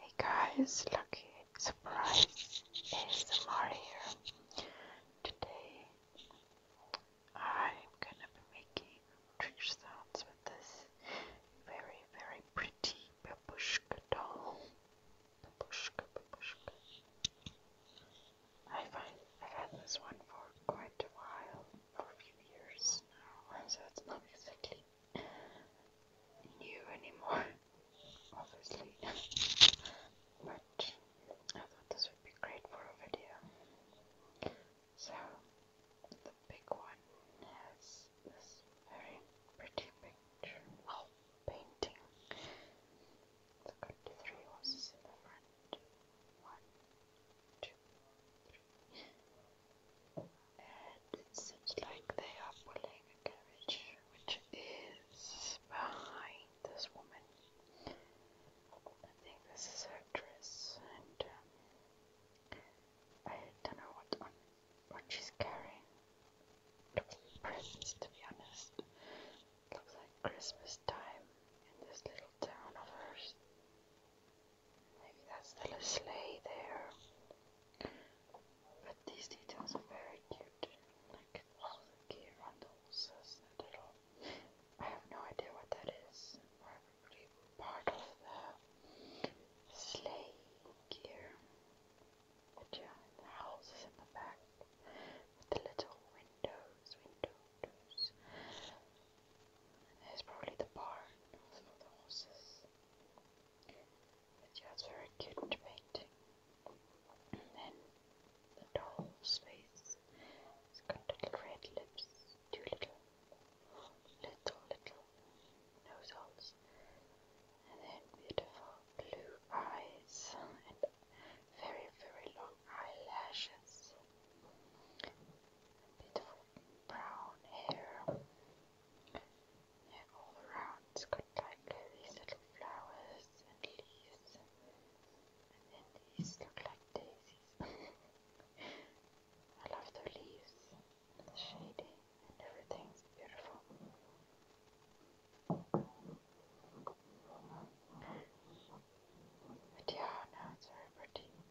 Hey guys, lucky surprise is Mari here. Today I'm gonna be making trick sounds with this very very pretty babushka doll. Babushka, babushka. I find I've had this one for quite a while, for a few years now, so it's not exactly new anymore, obviously. but I thought this would be great for a video. So, the big one has this very pretty picture, painting. It's got in the front. One, two, three. And it like they are pulling a carriage which is behind this woman. I think this is her dress, and um, I don't know what what she's carrying. Presents, to be honest. It looks like Christmas time in this little town of hers. Maybe that's still a sleigh there. But these details are very cute. Like all the gear on the horses and it all. I have no idea what that is. Probably part of the sleigh gear. But yeah, the house is in the back with the little windows, windows, it's probably the barn with the horses. But yeah, it's very cute painting. And then the doll's face. It's got little red lips, two little, little, little nose And then beautiful blue eyes and very, very long eyelashes. Beautiful brown hair. And all around it's got like these little flowers and leaves. And then these look like daisies. I love the leaves and the shading and everything's beautiful. But yeah, no, it's very pretty.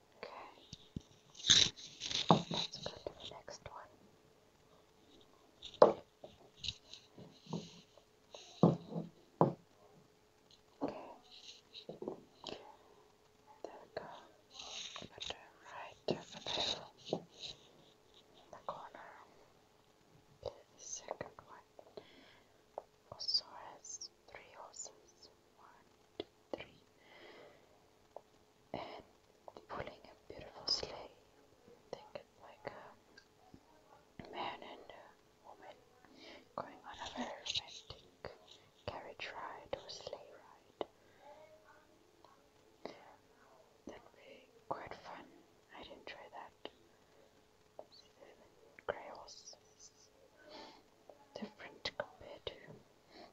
Okay. Let's go to the next one. Okay. There we go. Put it right over in the corner. second one also has three horses, one, two, three, and pulling a beautiful sleigh. Think it's like a man and a woman going on a very romantic carriage ride or sleigh ride. That'd be quite fun. I'd enjoy that. Grey horses different compared to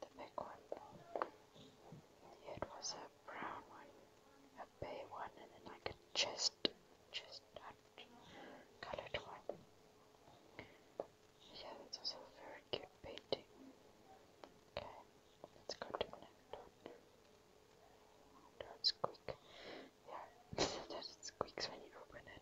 the big one. it was a brown one, a bay one, and then like a chest, chestnut colored one. Yeah, that's also a very cute painting. Okay, let's go to the next one. Don't Yeah, that squeaks when you open it.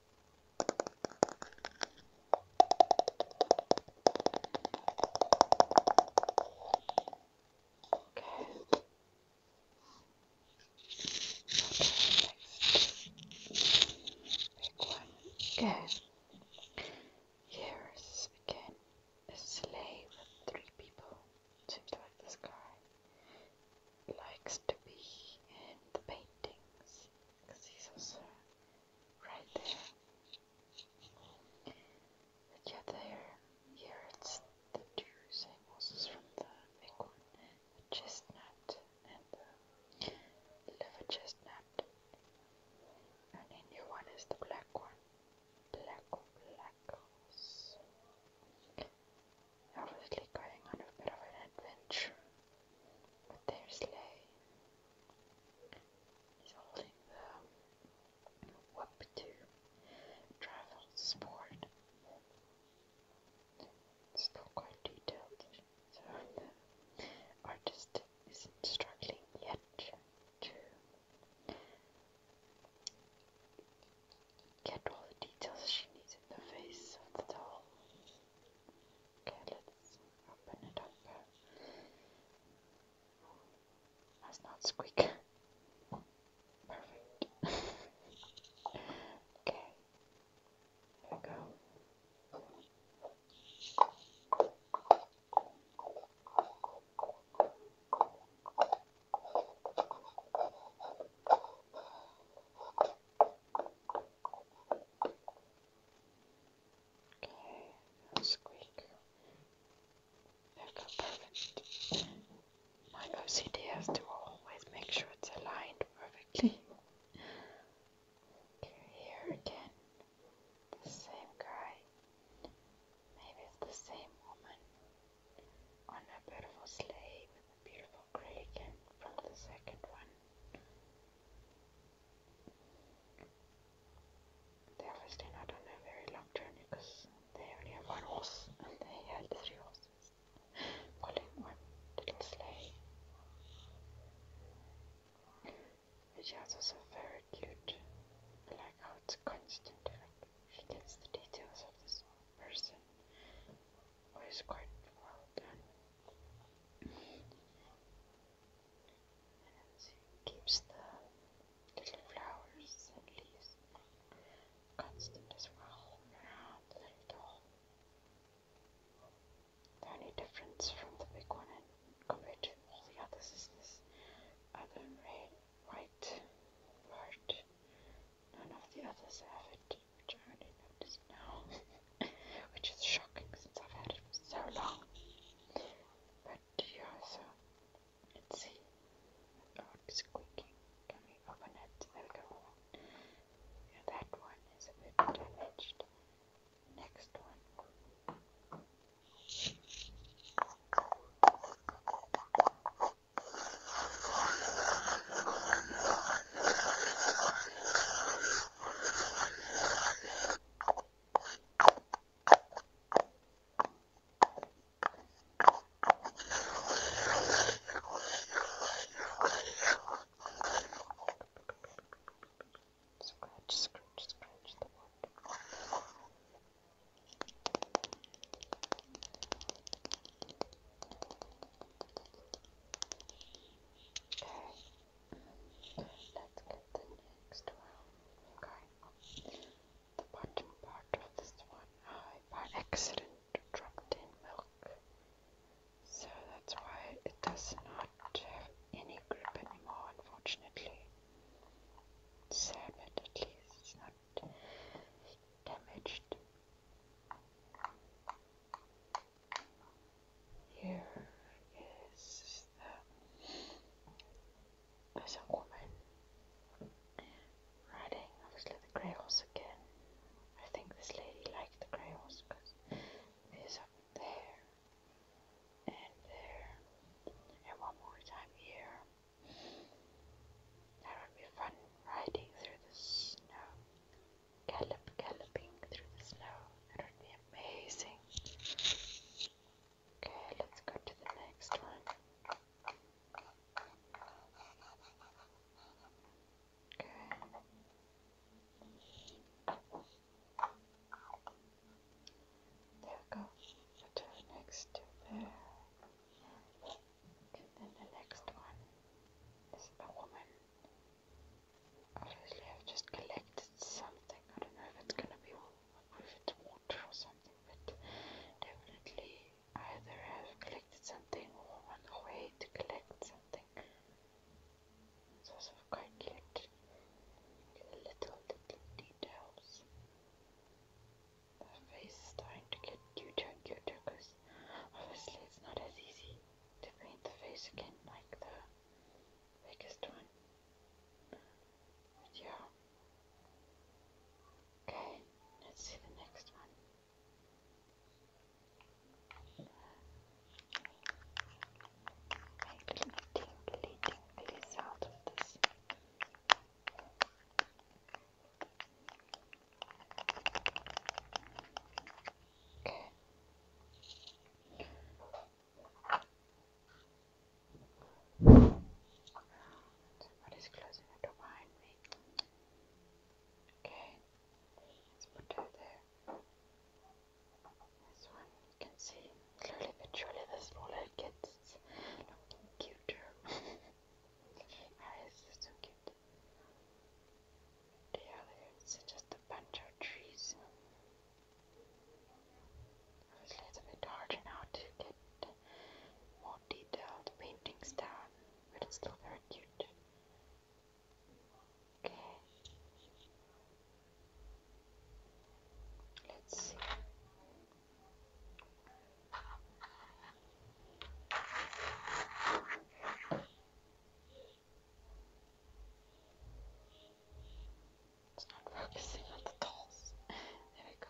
Okay. Okay, next big one. Okay. Here's again a sleigh with three people. Seems like this guy likes to be in the paintings because he's also right there. But yeah, there, here it's the two same horses from the big one, the chestnut and the liver chestnut. And in your one is the black one. Black, black horse obviously going on a bit of an adventure with their sleigh. He's holding the whip to travel sport. still quite detailed, so the artist isn't struggling yet to get all the details she needs in the face of the doll. Okay, let's open it up. That's not squeak. Perfect. okay. There we go. Okay, that's perfect. My OCD has to always make sure it's aligned perfectly. here again, the same guy. Maybe it's the same woman on a beautiful sleigh with a beautiful gradient from the second one. They obviously not on very long journey because they only have one horse and they had three horses pulling one little sleigh. Which is also very cute. I constant. She gets the details of this person was quite well done. And she keeps the little flowers and leaves constant as well around the little. The only difference from the big one and compared to all the others is this other red, white part None of the others have it, which I only notice now, which is shocking since I've had it for so long. But you also, let's see, odd oh, squeaking coming open it. There we go. Yeah, that one is a bit damaged. Next one. Scratch, scratch, scratch the wood. Okay, let's get the next one. Okay, the bottom part of this one, I by accident dropped in milk, so that's why it does not have any grip anymore, unfortunately. Sad, but at least it's not damaged. Here is the there's a woman riding obviously the grey horse again. I think this lady liked the grey horse because there's something there and there and one more time here that would be fun riding through the snow, gallop, galloping through the snow. That would be amazing. Okay, let's go to the next one. There we go. next to there. And then the next one is a woman. Obviously, I've just collected something. I don't know if it's gonna be if it's water or something, but definitely either I've collected something or on the way to collect something. It's quite cute. little little details. The face is starting to get cuter and cuter because obviously it's not as easy to paint the face again like the biggest one. But yeah. Okay, let's see the next one. Make some tingly, tingly sound this. Somebody's closing the door behind me. Okay, let's put that there. This one you can see slowly but the smaller it gets, looking cuter. Iris is cute. The other is just a bunch of trees. it's a bit hard to get more detailed paintings down, but it's still very cute. Okay, Let's see. It's not focusing on the dolls. There we go.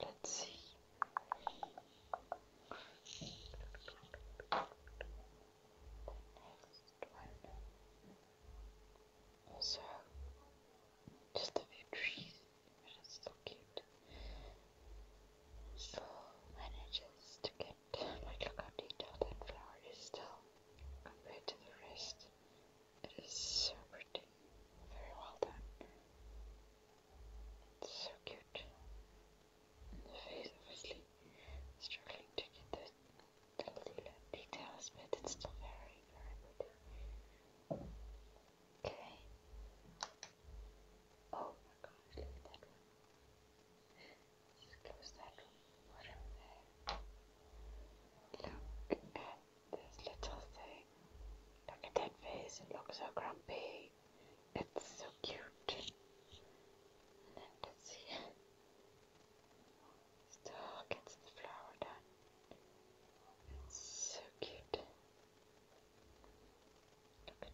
Let's see. next one. Also, just a few trees, which so cute. Still manages to get like look how detailed that flower is still compared to the rest. It is so pretty. Very well done. so cute. And the face obviously struggling to get the, little details, but it's still very, very pretty. Okay. Oh my gosh, Let's close that one. Look at this little thing. Look at that face. It so grumpy. It's so cute. And then let's see. Still gets the flower done. It's so cute.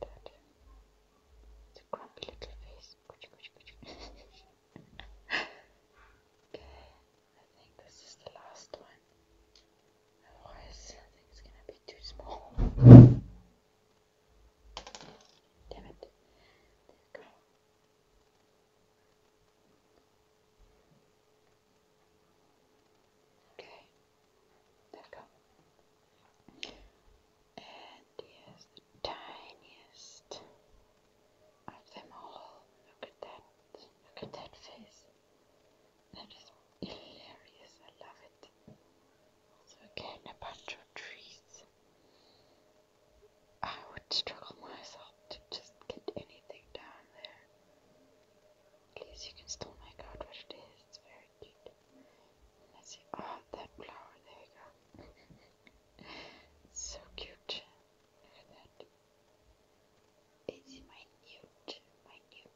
Look at that. It's a grumpy little face. okay, I think this is the last one. Otherwise, I think it's gonna be too small. Damn it. There we go. Okay, there we go. And here's the tiniest of them all. Look at that. Look at that face. That is hilarious. I love it. Also, again, a bunch of trees. I would struggle myself to just get anything down there. At you can still make out what it is. It's very cute. Let's see. Oh, that flower. There you go. so cute. Look at that. It's minute, minute.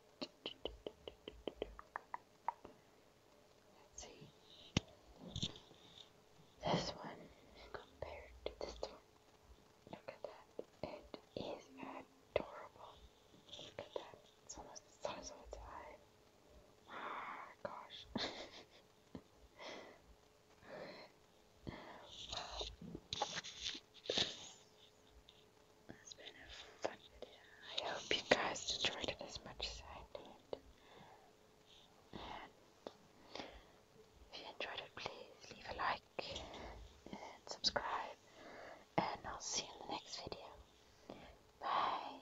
Let's see. This one compared to this one. Look at that. It is adorable. Look at that. It's almost the size of its eye. Ah, gosh. It's been a fun video. I hope you guys enjoyed it as much as I did. And if you enjoyed it, please leave a like and subscribe. And I'll see you in the next video. Bye.